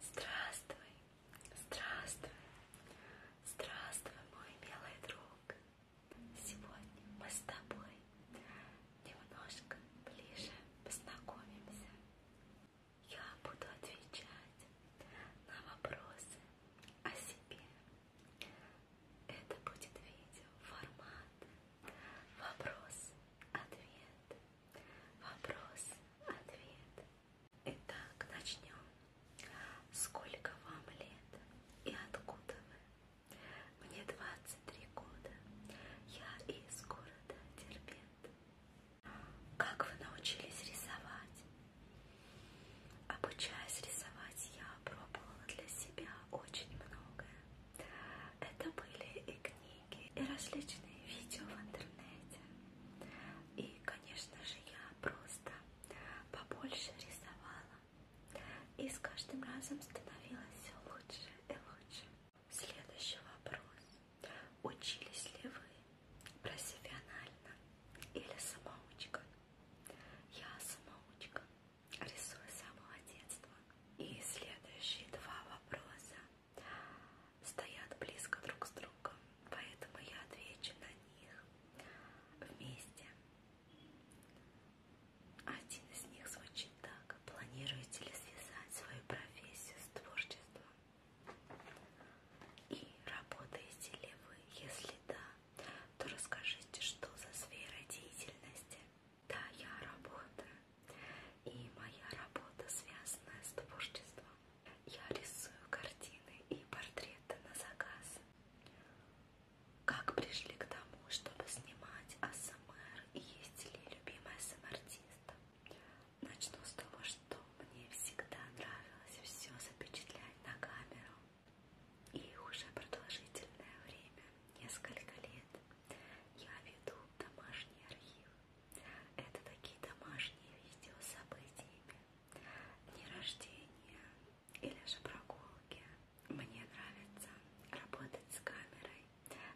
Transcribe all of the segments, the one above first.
Здравствуй, здравствуй, здравствуй, мой милый друг. Сегодня мы с тобой немножко ближе познакомимся. Я буду отвечать на вопросы о себе. Это будет видео формат вопрос-ответ. Вопрос-ответ. Итак, начнем. Сколько вам лет и откуда вы? Мне 23 года. Я из города Дербент. Как вы научились рисовать? Обучаясь рисовать, я пробовала для себя очень многое. Это были и книги книги и различные видео в интернете. И, конечно же, я просто побольше рисовала. И с каждым разом становилось все лучше и лучше. Следующий вопрос. Учились ли вы профессионально или самоучка? Я самоучка. Рисую с самого детства. И следующие два вопроса стоят близко друг с другом, поэтому я отвечу на них вместе. Один из них звучит так. Планируете ли связать свою профессию с творчеством? И работаете ли вы? Если да, то расскажите, что за сфера деятельности. Да, я работаю. И моя работа связана с творчеством. Я рисую картины и портреты на заказ. Как пришли к тому, чтобы снимать АСМР и есть ли любимый АСМР-артист? Начну с того, что мне всегда нравилось все запечатлять на камеру. И уже продолжительное время, несколько лет, я веду домашний архив это такие домашние видео с событиями, дни рождения или же прогулки. Мне нравится работать с камерой.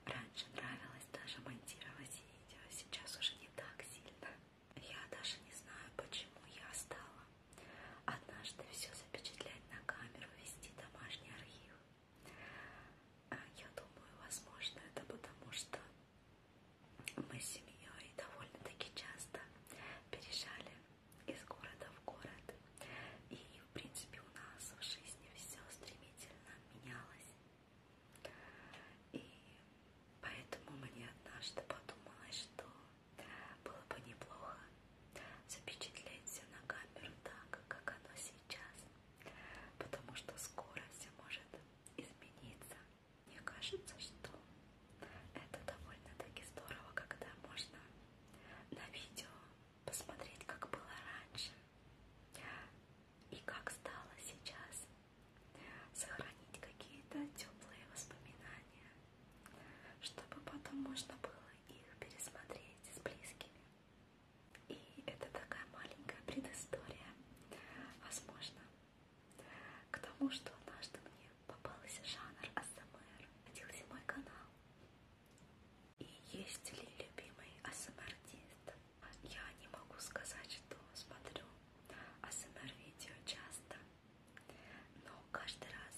Раньше нравилось даже монтировать видео, сейчас уже не так сильно. Я даже не знаю, почему я стала однажды все запечатлять на камеру, вести домашний архив. А, я думаю, возможно, это потому что мы с семьей довольно-таки часто переезжали из города в город. И, в принципе, у нас в жизни все стремительно менялось. И поэтому мне однажды подумалось, что было бы неплохо запечатлеть все на камеру так, как оно сейчас. Потому что скоро все может измениться. Мне кажется, что это довольно-таки здорово, когда можно на видео посмотреть, как было раньше и как стало сейчас, сохранить какие-то теплые воспоминания, чтобы потом можно было их пересмотреть с близкими. И это такая маленькая предыстория, возможно, интересно. К тому, что однажды мне попался жанр АСМР, родился мой канал. И есть ли любимый АСМР-артист? Я не могу сказать, что смотрю АСМР-видео часто, но каждый раз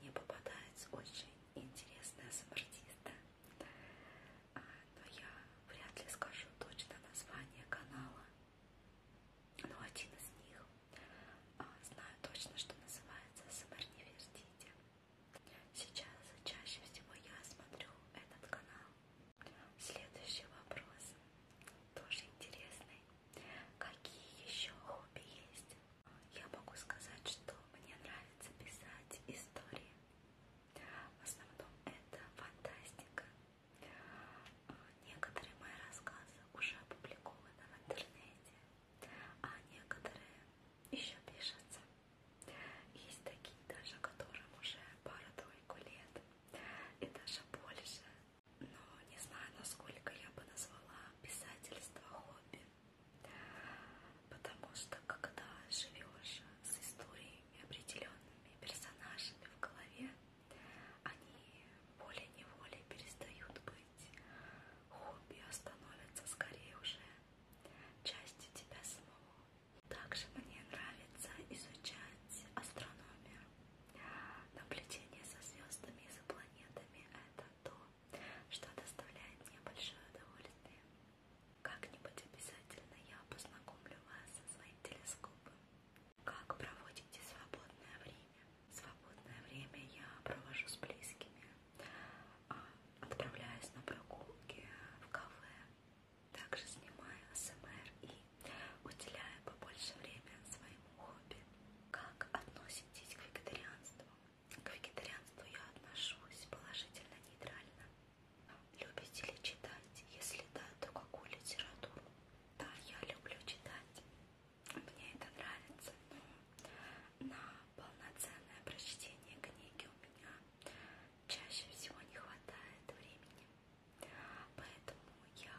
мне попадаются очень интересные АСМР-артисты но а, я вряд ли скажу точно название канала. Но ну, один из них а, знаю точно, что называется «СМР не вердите». Сейчас чаще всего я смотрю этот канал. Следующий вопрос, тоже интересный. Какие еще хобби есть? Я могу сказать, что мне нравится писать истории. В основном это фантастика. Некоторые мои рассказы уже опубликованы в интернете, а некоторые еще пишутся. Есть такие даже, которым уже пару-тройку лет и даже больше. Но не знаю, насколько я бы назвала писательство хобби. Потому что когда живешь с историей и определенными персонажами в голове, они волей-неволей перестают быть хобби, а становятся скорее уже частью тебя самого. Также мне нравится изучать астрономию. Наблюдение за звездами и за планетами – это то, что доставляет мне большое удовольствие. Как-нибудь обязательно я познакомлю вас со своим телескопом. Как проводите свободное время? Свободное время я провожу с близкими, а, отправляюсь на прогулки в кафе, также снимаю СМР и уделяю побольше время своему хобби. Как относитесь к вегетарианству? К вегетарианству я отношусь положительно, нейтрально. Любите ли читать? Если да, то какую литературу? Да, я люблю читать. Мне это нравится. Но на полноценное прочтение книги у меня чаще всего не хватает времени. Поэтому я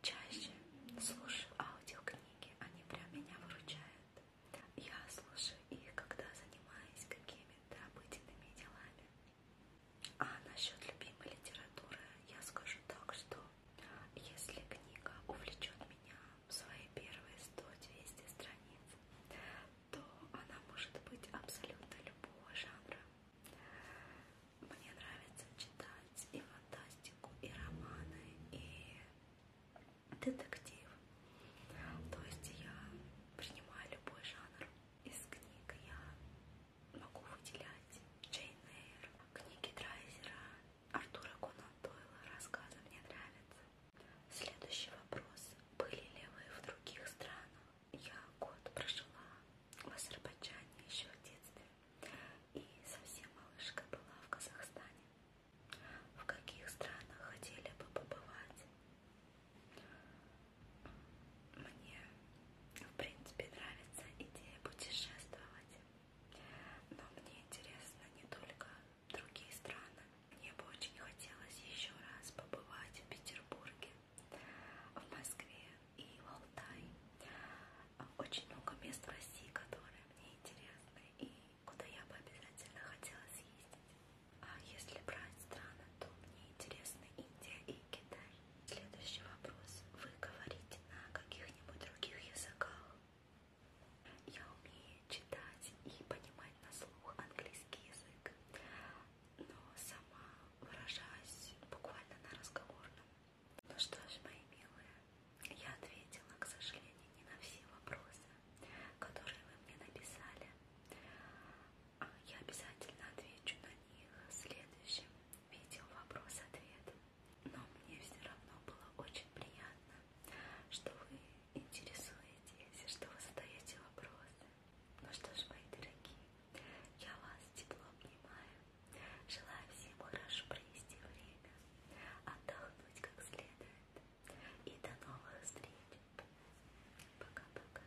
чаще слушаю аудиокниги. Они прям меня выручают. Я слушаю их, когда занимаюсь какими-то обыденными делами. А насчет любимой литературы я скажу так, что если книга увлечет меня в свои первые 100-200 страниц, то она может быть абсолютно любого жанра. Мне нравится читать и фантастику, и романы, и детектив. То есть я принимаю любой жанр из книг. Я могу выделять Джейн Эйр, книги Драйзера, Артура Конан Дойла, рассказы мне нравятся. Следующий вопрос. Были ли вы в других странах? Я год прожила в Азербайджане еще в детстве и совсем малышка была в Казахстане. В каких странах хотели бы побывать? Мне, в принципе, нравится идея путешествовать, но мне интересно не только другие страны. Мне бы очень хотелось еще раз побывать в Петербурге, в Москве и в Алтае. Очень много мест в России, которые мне интересны и куда я бы обязательно хотела съездить. А если брать страны, то мне интересны Индия и Китай. Следующий вопрос. Вы говорите на каких-нибудь других языках? Я умею читать и понимать на слух английский язык, но сама выражаюсь буквально на разговорном. Ну что ж, мои милые, я ответила, к сожалению, не на все вопросы, которые вы мне написали. А я обязательно отвечу на них в следующем видео вопрос-ответ. Но мне все равно было очень приятно, что вы интересуетесь, что вы задаете вопросы. Ну что ж, мои дорогие, я вас тепло обнимаю. Желаю всем хорошо провести время, отдохнуть как следует. И до новых встреч. Пока-пока.